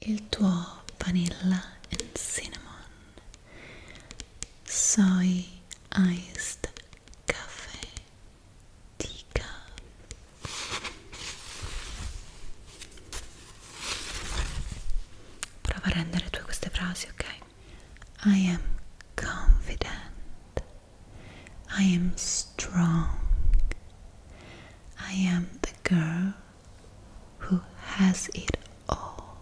il tuo vanilla and cinnamon soy iced caffè Tica. Prova a rendere tue queste frasi, ok? I am confident. I am strong. I am the girl who has it all.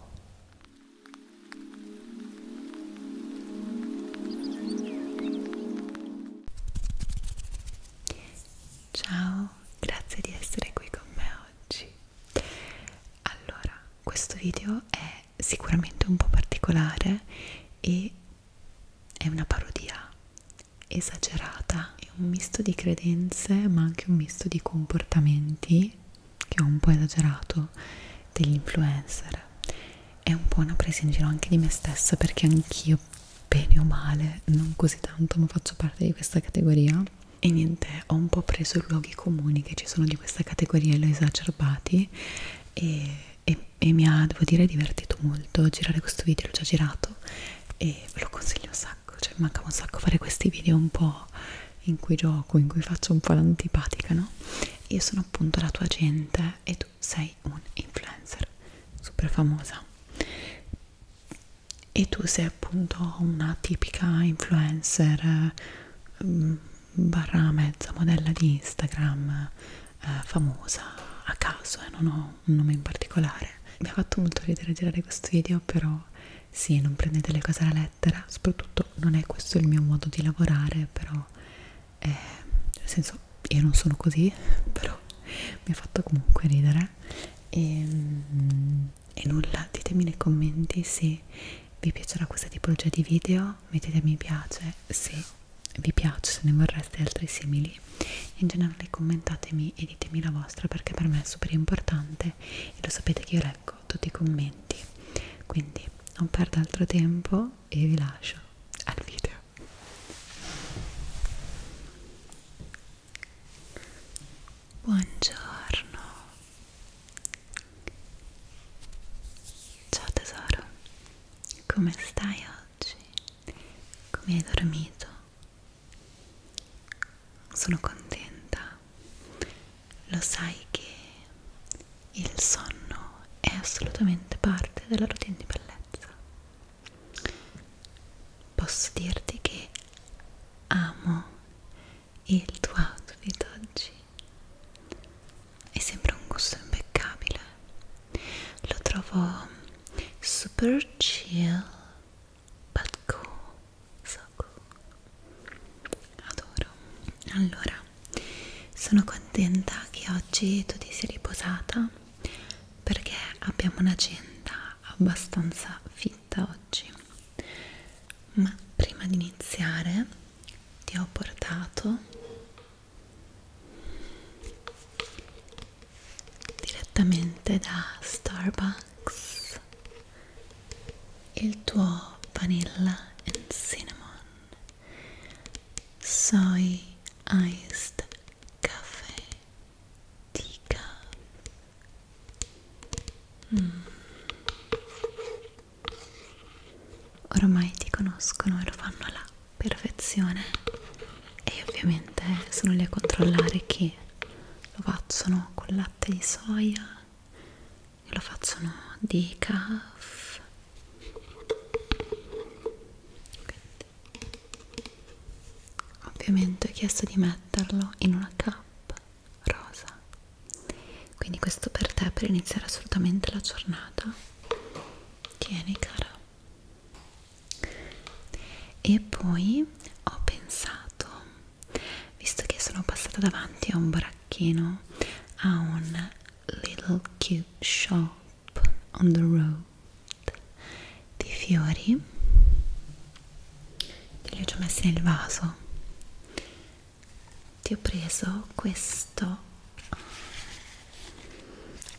Ciao, grazie di essere qui con me oggi. Allora, questo video è sicuramente un po' particolare e è una parodia esagerata è un misto di credenze ma anche un misto di comportamenti che ho un po' esagerato degli influencer è un po' una presa in giro anche di me stessa perché anch'io bene o male non così tanto ma faccio parte di questa categoria e niente ho un po' preso i luoghi comuni che ci sono di questa categoria e li ho esacerbati e, e, e mi ha devo dire divertito molto girare questo video l'ho già girato e ve lo consiglio assai sacco, cioè mi mancava un sacco fare questi video un po' in cui gioco, in cui faccio un po' l'antipatica, no? Io sono appunto la tua gente e tu sei un influencer super famosa e tu sei appunto una tipica influencer mm, barra mezza modella di Instagram eh, famosa a caso e eh, non ho un nome in particolare mi ha fatto molto ridere girare questo video però sì, non prendete le cose alla lettera soprattutto non è questo il mio modo di lavorare però eh, nel senso io non sono così però mi ha fatto comunque ridere e, ehm, e nulla, ditemi nei commenti se vi piacerà questa tipologia di video mettete mi piace se vi piace, se ne vorreste altri simili in generale commentatemi e ditemi la vostra perché per me è super importante e lo sapete che io leggo tutti i commenti quindi non perdo altro tempo e vi lascio al video buongiorno ciao tesoro come stai oggi? come hai dormito? Sono contenta, lo sai che il sonno è assolutamente parte della routine di bellezza. Posso dirti che amo il tuo outfit oggi, è sempre un gusto impeccabile, lo trovo super chill but cool, so cool adoro allora sono contenta che oggi tu ti sia riposata perché abbiamo un'agenda abbastanza fitta oggi ma prima di iniziare ti ho portato direttamente da Starbucks il tuo vanilla and cinnamon soy iced caffè decaf mm. ormai ti conoscono e lo fanno alla perfezione e io ovviamente sono lì a controllare che lo facciano con latte di soia che lo facciano di calf ovviamente ho chiesto di metterlo in una cup rosa quindi questo per te per iniziare assolutamente la giornata tieni cara e poi ho pensato visto che sono passata davanti a un baracchino a un little cute shop on the road di fiori che li ho già messi nel vaso ti ho preso questo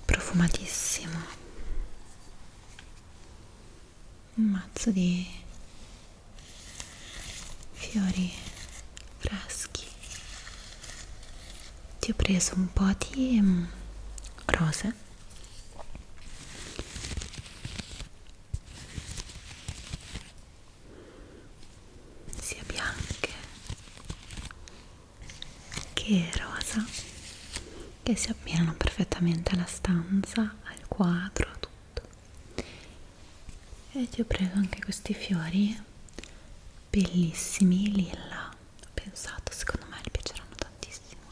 profumatissimo un mazzo di fiori freschi ti ho preso un po' di mm, rose sia bianche che è rosa che si abbinano perfettamente alla stanza, al quadro, a tutto e ti ho preso anche questi fiori bellissimi lilla ho pensato secondo me li piaceranno tantissimo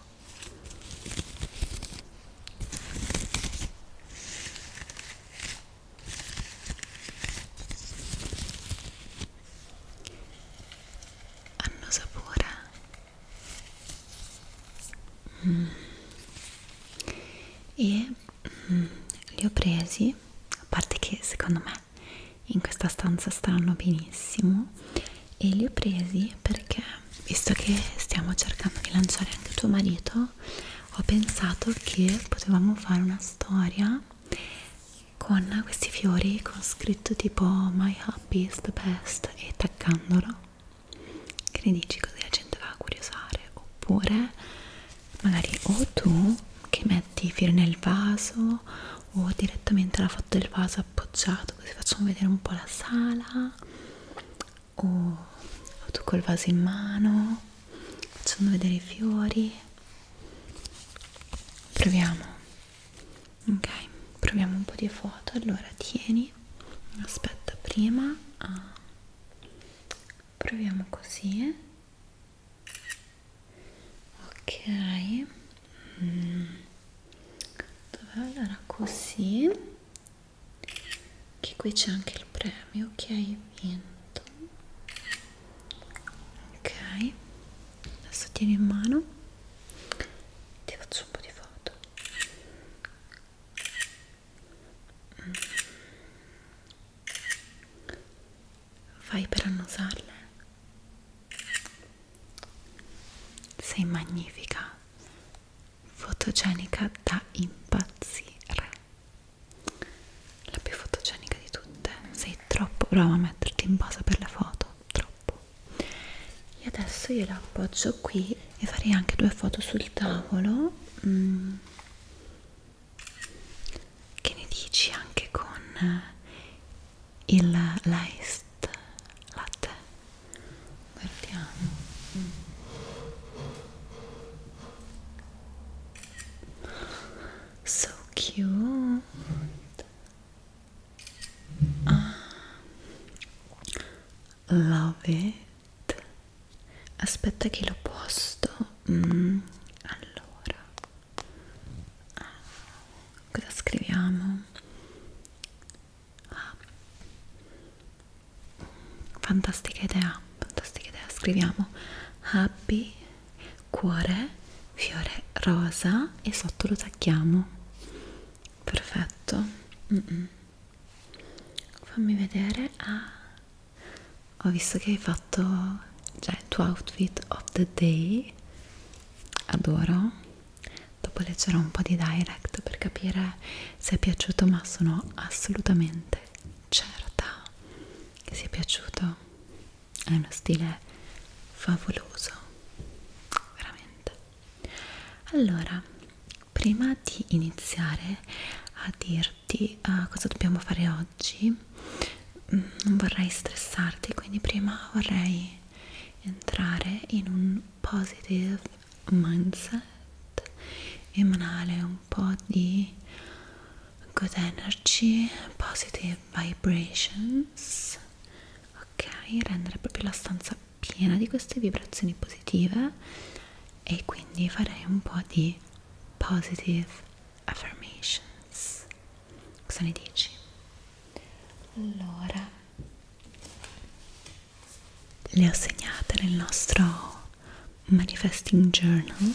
hanno sapore mm. e mm, li ho presi a parte che secondo me in questa stanza stanno benissimo e li ho presi perché visto che stiamo cercando di lanciare anche tuo marito ho pensato che potevamo fare una storia con questi fiori con scritto tipo My Happy is the best e taccandolo che ne dici così la gente va a curiosare oppure magari o tu che metti i fiori nel vaso o direttamente la foto del vaso appoggiato così facciamo vedere un po' la sala o, o tu col vaso in mano facendo vedere i fiori proviamo ok proviamo un po' di foto allora tieni aspetta prima ah. proviamo così ok mm. allora così che qui c'è anche il premio ok vinto ok adesso tieni in mano ti faccio un po' di foto vai mm. per annusarle sei magnifica fotogenica da impazzire la più fotogenica di tutte sei troppo brava a metterti in posa per le foto troppo e adesso io la appoggio qui e farei anche due foto sul tavolo mm. che ne dici anche con il l'iced latte guardiamo mm. so cute Ah. love it aspetta che lo posto mm, allora ah, cosa scriviamo ah. fantastica idea fantastica idea scriviamo happy cuore fiore rosa e sotto lo tacchiamo perfetto mm -mm. fammi vedere ah, ho visto che hai fatto già cioè, il tuo outfit of the day adoro dopo leggerò un po' di direct per capire se è piaciuto ma sono assolutamente certa che sia piaciuto è uno stile favoloso veramente allora prima di iniziare a dirti uh, cosa dobbiamo fare oggi mh, mm, non vorrei stressarti quindi prima vorrei entrare in un positive mindset emanare un po' di good energy positive vibrations ok rendere proprio la stanza piena di queste vibrazioni positive e quindi farei un po' di positive affirmations cosa ne dici? allora le ho segnate nel nostro manifesting journal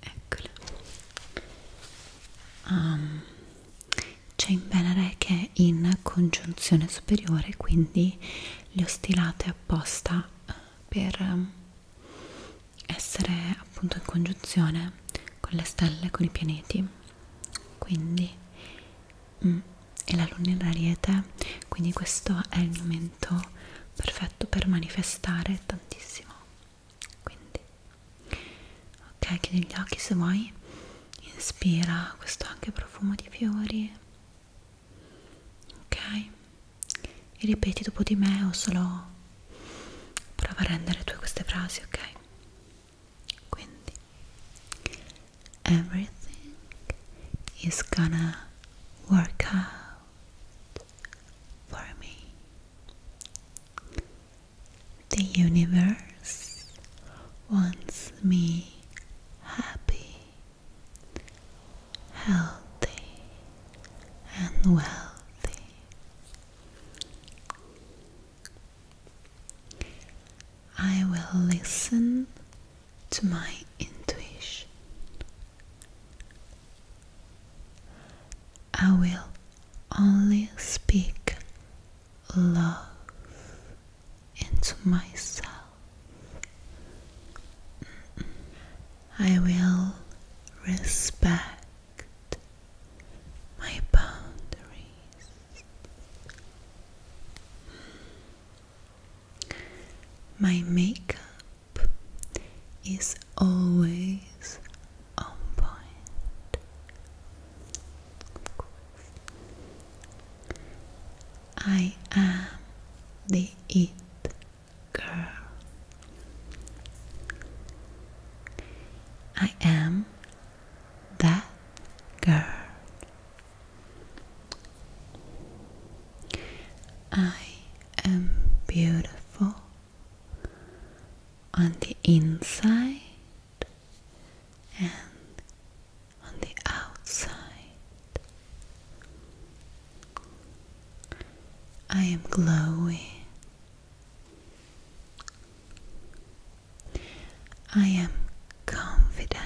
eccola um, c'è in Venere che è in congiunzione superiore quindi le ho stilate apposta eh, per ehm, essere appunto in congiunzione con le stelle, con i pianeti quindi mm, e la luna in ariete quindi questo è il momento perfetto per manifestare tantissimo quindi ok chiudi gli occhi se vuoi inspira questo anche profumo di fiori ok e ripeti dopo di me o solo prova a rendere tue queste frasi ok quindi everything is gonna work out for me The universe wants me happy, healthy, and wealthy. I will listen to my intuition. I will only speak love into myself. I will respect my boundaries. Mm. My makeup is always on point. Of I am the it girl. I am that girl. I am beautiful on the inside and on the outside. I am glowing. I am confident.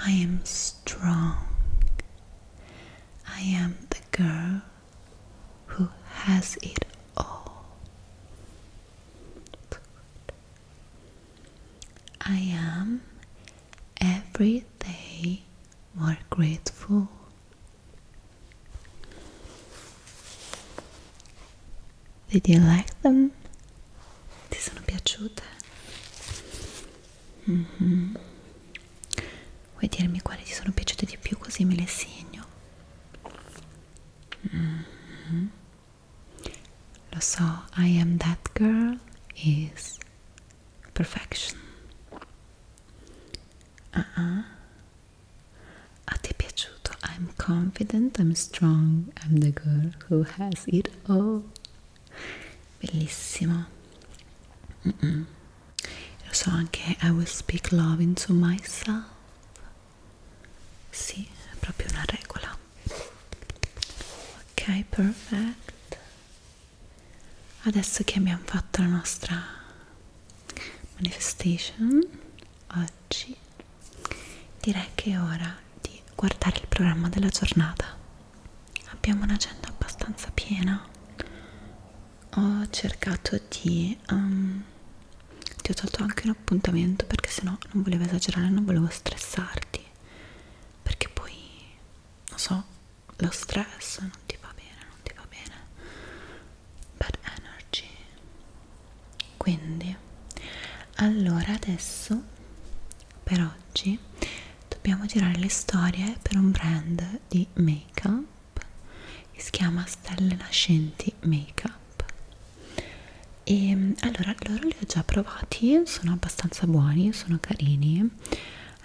I am strong. I am the girl who has it all. I am every day more grateful. Did you like them? Ti sono piaciute? mm -hmm. vuoi dirmi quali ti sono piaciute di più così me le segno mm -hmm. lo so I am that girl is perfection uh -uh. a te è piaciuto I'm confident I'm strong I'm the girl who has it all bellissimo mm -mm lo so anche I will speak love into myself sì, è proprio una regola ok, perfect adesso che abbiamo fatto la nostra manifestation oggi direi che è ora di guardare il programma della giornata abbiamo un'agenda abbastanza piena ho cercato di um, ti ho tolto anche un appuntamento perché sennò non volevo esagerare non volevo stressarti perché poi non so lo stress non ti va bene non ti va bene bad energy quindi allora adesso per oggi dobbiamo girare le storie per un brand di make up che si chiama Stelle Nascenti Make Up e mm, allora loro li ho già provati sono abbastanza buoni sono carini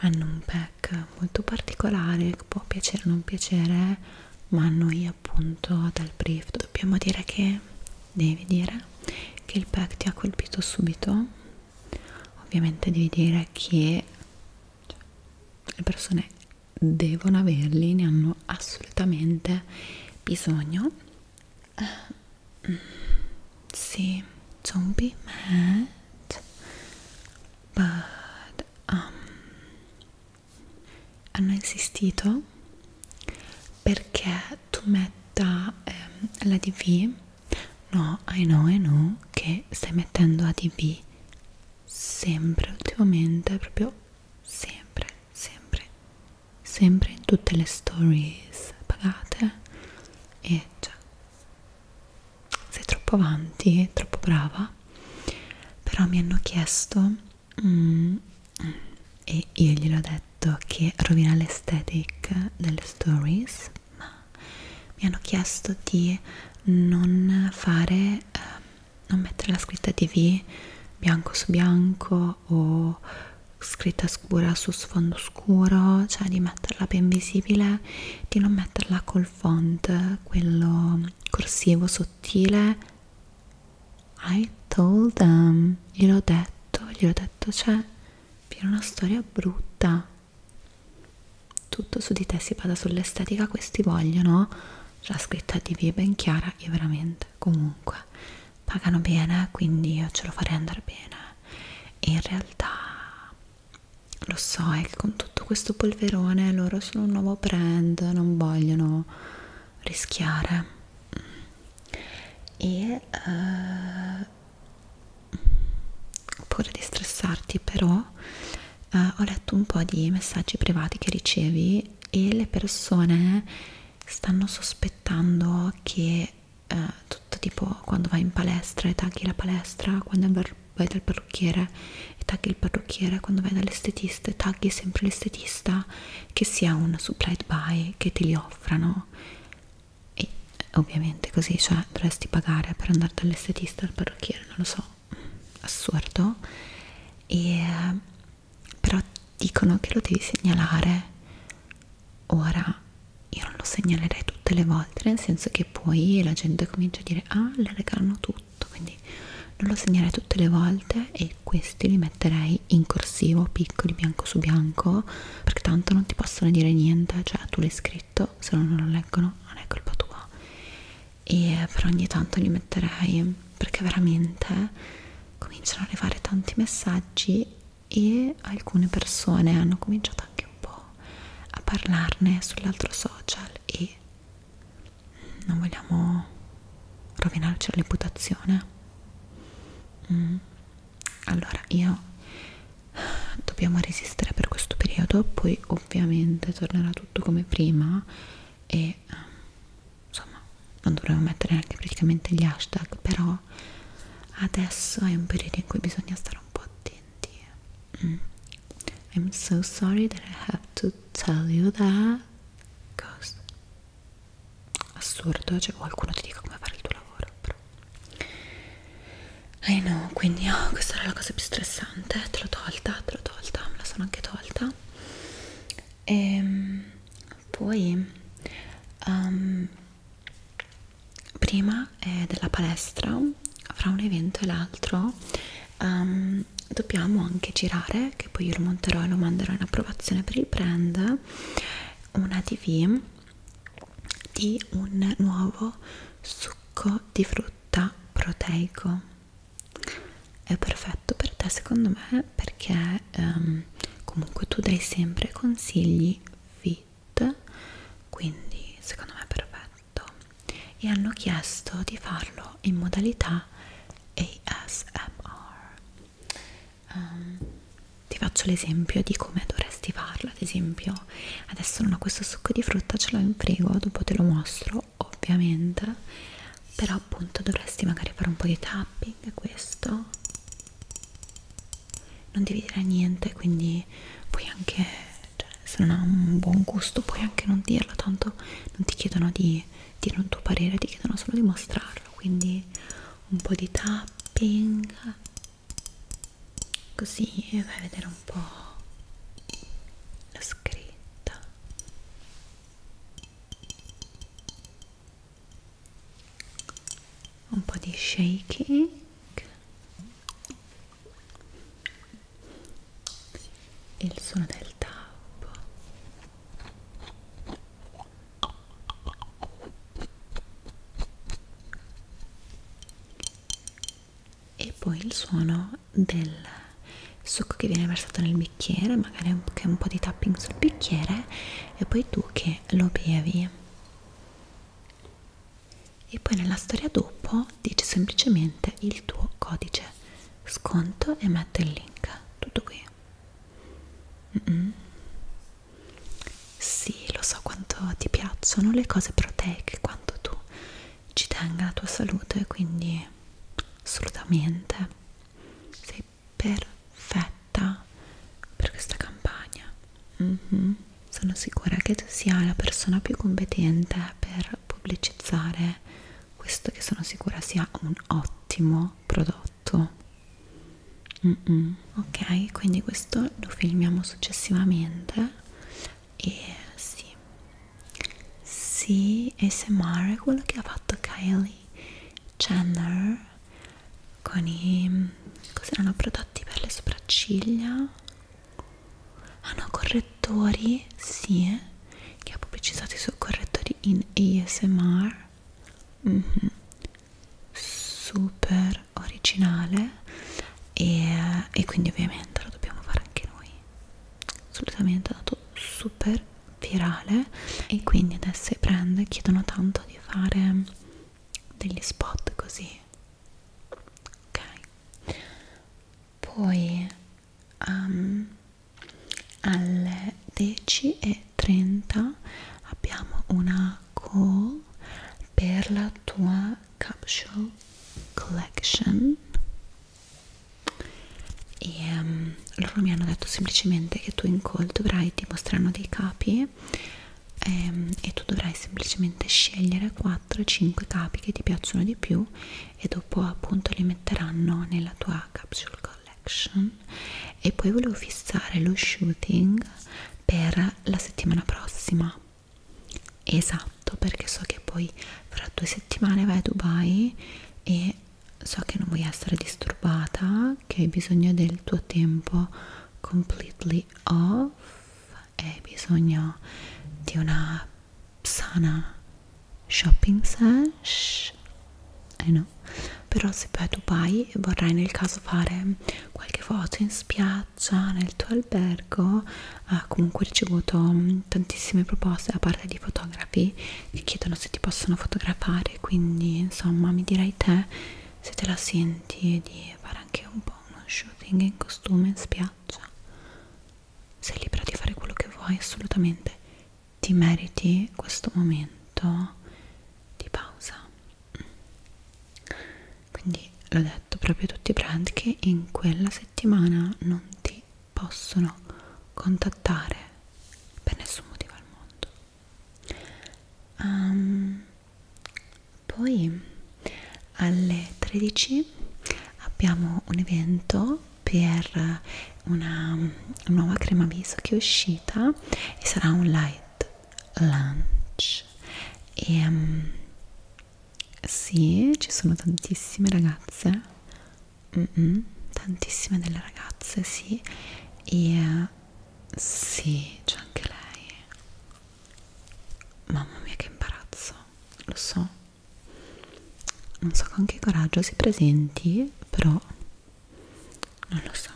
hanno un pack molto particolare che può piacere o non piacere ma noi appunto dal brief dobbiamo dire che devi dire che il pack ti ha colpito subito ovviamente devi dire che cioè, le persone devono averli, ne hanno assolutamente bisogno. Uh, sì, don't be mad, but um, hanno insistito perché tu metta ehm, la DV No, I know, I know che stai mettendo ADB sempre ultimamente, proprio sempre, sempre, sempre in tutte le stories pagate e cioè sei troppo avanti, troppo brava. Però mi hanno chiesto mm, e io gliel'ho detto che rovina l'estetic delle stories ma mi hanno chiesto di non fare eh, non mettere la scritta TV bianco su bianco o scritta scura su sfondo scuro cioè di metterla ben visibile di non metterla col font quello corsivo sottile I told them gliel'ho detto gliel'ho detto cioè per una storia brutta tutto su di te si bada sull'estetica questi vogliono la scritta di via ben chiara e veramente comunque pagano bene quindi io ce lo farei andare bene e in realtà lo so è che con tutto questo polverone loro sono un nuovo brand non vogliono rischiare e uh, ho paura di stressarti però eh, ho letto un po' di messaggi privati che ricevi e le persone stanno sospettando che eh, tutto tipo quando vai in palestra e tagli la palestra, quando vai dal parrucchiere e tagli il parrucchiere, quando vai dall'estetista e tagli sempre l'estetista, che sia un supplied by che te li offrano e ovviamente così cioè dovresti pagare per andare dall'estetista al parrucchiere non lo so assurdo e però dicono che lo devi segnalare ora io non lo segnalerei tutte le volte nel senso che poi la gente comincia a dire ah le regalano tutto quindi non lo segnerei tutte le volte e questi li metterei in corsivo piccoli bianco su bianco perché tanto non ti possono dire niente cioè tu l'hai scritto adesso se non lo leggono non è colpa tua e eh, per ogni tanto li metterei perché veramente cominciano ad arrivare tanti messaggi e alcune persone hanno cominciato anche un po' a parlarne sull'altro social e non vogliamo rovinarci la reputazione mm, allora io dobbiamo resistere per questo periodo poi ovviamente tornerà tutto come prima e ehm, insomma non dovremmo mettere neanche praticamente gli hashtag però adesso è un periodo in cui bisogna stare un po' attenti mm. I'm so sorry that I have to tell you that Cosa? assurdo, cioè qualcuno ti dica come fare il tuo lavoro però eh no, quindi oh, questa era la cosa più stressante, te l'ho tolta, te l'ho tolta, me la sono anche tolta e ehm, poi um, prima eh, della palestra fra un evento e l'altro um, dobbiamo anche girare che poi io lo monterò e lo manderò in approvazione per il brand una tv di un nuovo succo di frutta proteico è perfetto per te secondo me perché um, comunque tu dai sempre consigli fit quindi secondo me è perfetto e hanno chiesto di farlo in modalità ASMR um, ehm, ti faccio l'esempio di come dovresti farlo ad esempio adesso non ho questo succo di frutta ce l'ho in frigo dopo te lo mostro ovviamente però appunto dovresti magari fare un po' di tapping questo non devi dire niente quindi puoi anche cioè, se non ha un buon gusto puoi anche non dirlo tanto non ti chiedono di dire un tuo parere ti chiedono solo di mostrarlo quindi un po' di tapping così vai a vedere un po' la scritta un po' di shaking e il suono del tappo e poi il suono del succo che viene versato nel bicchiere magari anche un po' di tapping sul bicchiere e poi tu che lo bevi e poi nella storia dopo dici semplicemente il tuo codice sconto e metto il link tutto qui mm -mm. Sì, lo so quanto ti piacciono le cose proteiche, quanto tu ci tenga la tua salute, quindi assolutamente sei perfetta per questa campagna. Mm -hmm. Sono sicura che tu sia la persona più competente per pubblicizzare questo che sono sicura sia un ottimo prodotto mm -mm. ok quindi questo lo filmiamo successivamente e sì sì ASMR è quello che ha fatto Kylie Jenner con i cos'erano prodotti per le sopracciglia hanno ah, correttori sì eh? che ha pubblicizzato i suoi correttori in ASMR mm -hmm super originale e, e quindi ovviamente lo dobbiamo fare anche noi assolutamente è andato super virale e quindi adesso i brand chiedono tanto di fare degli spot così ok poi um, alle 10 e 30 abbiamo una Cole per la tua capsule collection e um, loro mi hanno detto semplicemente che tu in call dovrai ti mostrano dei capi um, e tu dovrai semplicemente scegliere 4-5 capi che ti piacciono di più e dopo appunto li metteranno nella tua capsule collection e poi volevo fissare lo shooting per la settimana prossima esatto perché so che poi fra due settimane vai a Dubai e so che non vuoi essere disturbata che hai bisogno del tuo tempo completely off e hai bisogno di una sana shopping sesh eh no però se poi a Dubai vorrai nel caso fare qualche foto in spiaggia nel tuo albergo ha comunque ricevuto mm, tantissime proposte da parte di fotografi che chiedono se ti possono fotografare quindi insomma mi direi te se te la senti di fare anche un po' uno shooting in costume in spiaggia sei libera di fare quello che vuoi assolutamente ti meriti questo momento di pausa quindi l'ho detto proprio tutti i brand che in quella settimana non ti possono contattare per nessun motivo al mondo um, poi alle 13 abbiamo un evento per una nuova crema viso che è uscita e sarà un light lunch e um, sì ci sono tantissime ragazze mm -mm, tantissime delle ragazze sì e uh, sì c'è anche lei mamma mia che imbarazzo lo so non so con che coraggio si presenti però non lo so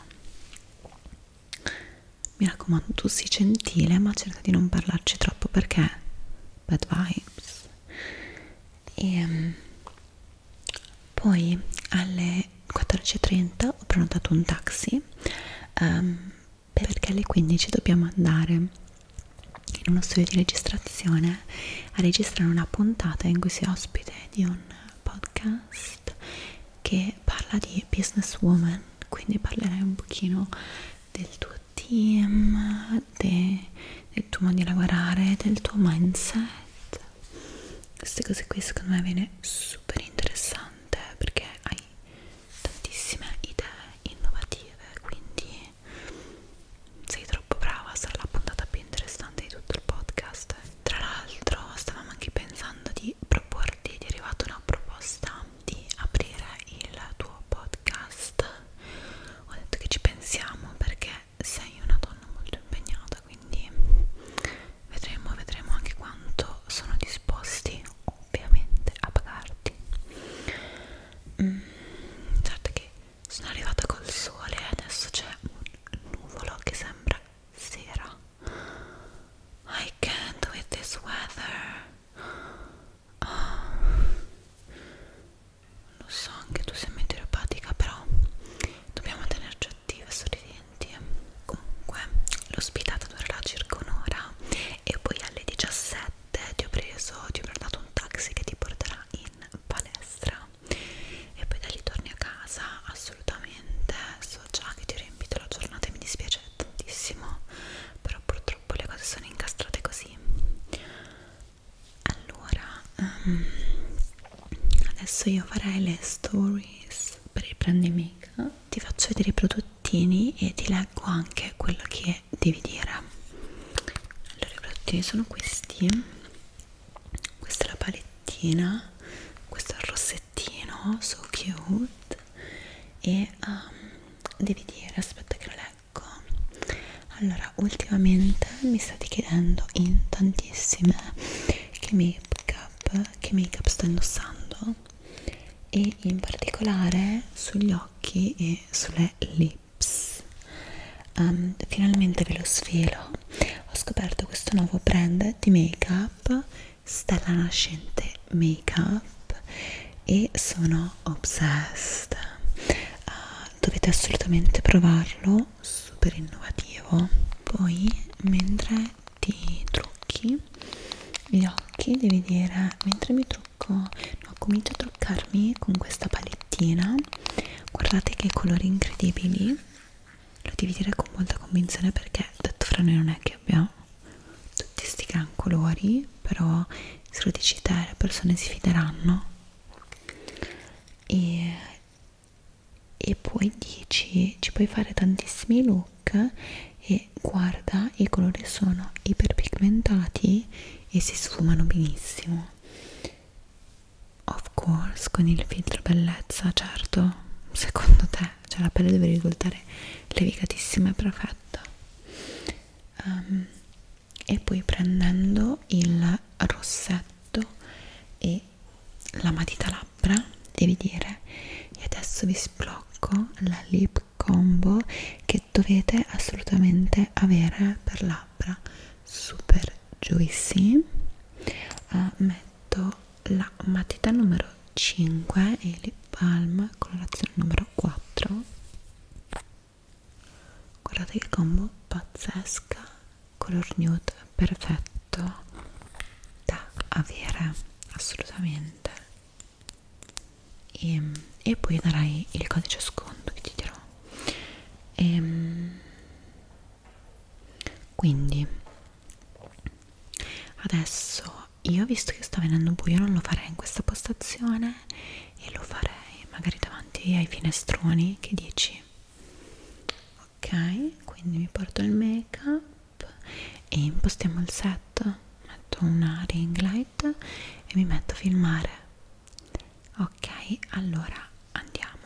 mi raccomando tu sii gentile ma cerca di non parlarci troppo perché bad vibes e ehm, poi alle 14.30 ho prenotato un taxi um, perché alle 15 dobbiamo andare in uno studio di registrazione a registrare una puntata in cui si è ospite di un podcast podcast che parla di business woman quindi parlerai un pochino del tuo team de, del tuo modo di lavorare del tuo mindset queste cose qui secondo me viene super interessante perché hai tantissime idee innovative quindi sei troppo brava sarà la puntata più interessante di tutto il podcast tra l'altro stavamo anche pensando di proporre tardi ti è arrivata una proposta di aprire il tuo podcast ho detto che ci pensiamo perché sei una donna molto impegnata quindi vedremo vedremo anche quanto sono disposti ovviamente a pagarti mm, certo che sono arrivata col sole adesso c'è un nuvolo che sembra sera I can't with this weather oh. lo so anche tu sei meteoropatica però dobbiamo tenerci attive e sorridenti comunque l'ospitata durerà circa un'ora e poi alle 17 ti ho preso ti ho prenotato un taxi che ti porterà in palestra e poi da lì torni a casa assolutamente so so già che ti ho riempito la giornata e mi dispiace tantissimo però purtroppo le cose sono incastrate così allora um, adesso io farei le stories per il brand make ti faccio vedere i prodottini e ti leggo anche quello che devi dire allora i prodottini sono questi questa è la palettina questo è il rossetto pezzettino so cute e um, devi dire aspetta che lo leggo allora ultimamente mi state chiedendo in tantissime che make up che make up sto indossando e in particolare sugli occhi e sulle lips um, finalmente ve lo svelo ho scoperto questo nuovo brand di make up up, stella nascente make up e sono obsessed uh, dovete assolutamente provarlo super innovativo poi mentre ti trucchi gli occhi devi dire mentre mi trucco no, comincio a truccarmi con questa palettina guardate che colori incredibili lo devi dire con molta convinzione perché detto fra noi non è che abbiamo tutti sti gran colori però se lo dici te le persone si fideranno e, e poi dici ci puoi fare tantissimi look e guarda i colori sono iperpigmentati e si sfumano benissimo Of course, con il filtro bellezza, certo, secondo te, cioè la pelle deve risultare levigatissima e perfetta. Um, e poi prendendo il rossetto e la matita labbra, devi dire, e adesso vi sblocco la lip combo che dovete assolutamente avere per labbra super juicy. Uh, metto la matita numero 5 e lip balm colorazione numero 4 guardate che combo pazzesca color nude perfetto da avere assolutamente e, e poi darai il codice sconto che ti dirò e, ehm, quindi adesso io visto che sta venendo buio non lo farei in questa postazione e lo farei magari davanti ai finestroni che dici ok quindi mi porto il make up e impostiamo il set metto una ring light e mi metto a filmare ok allora andiamo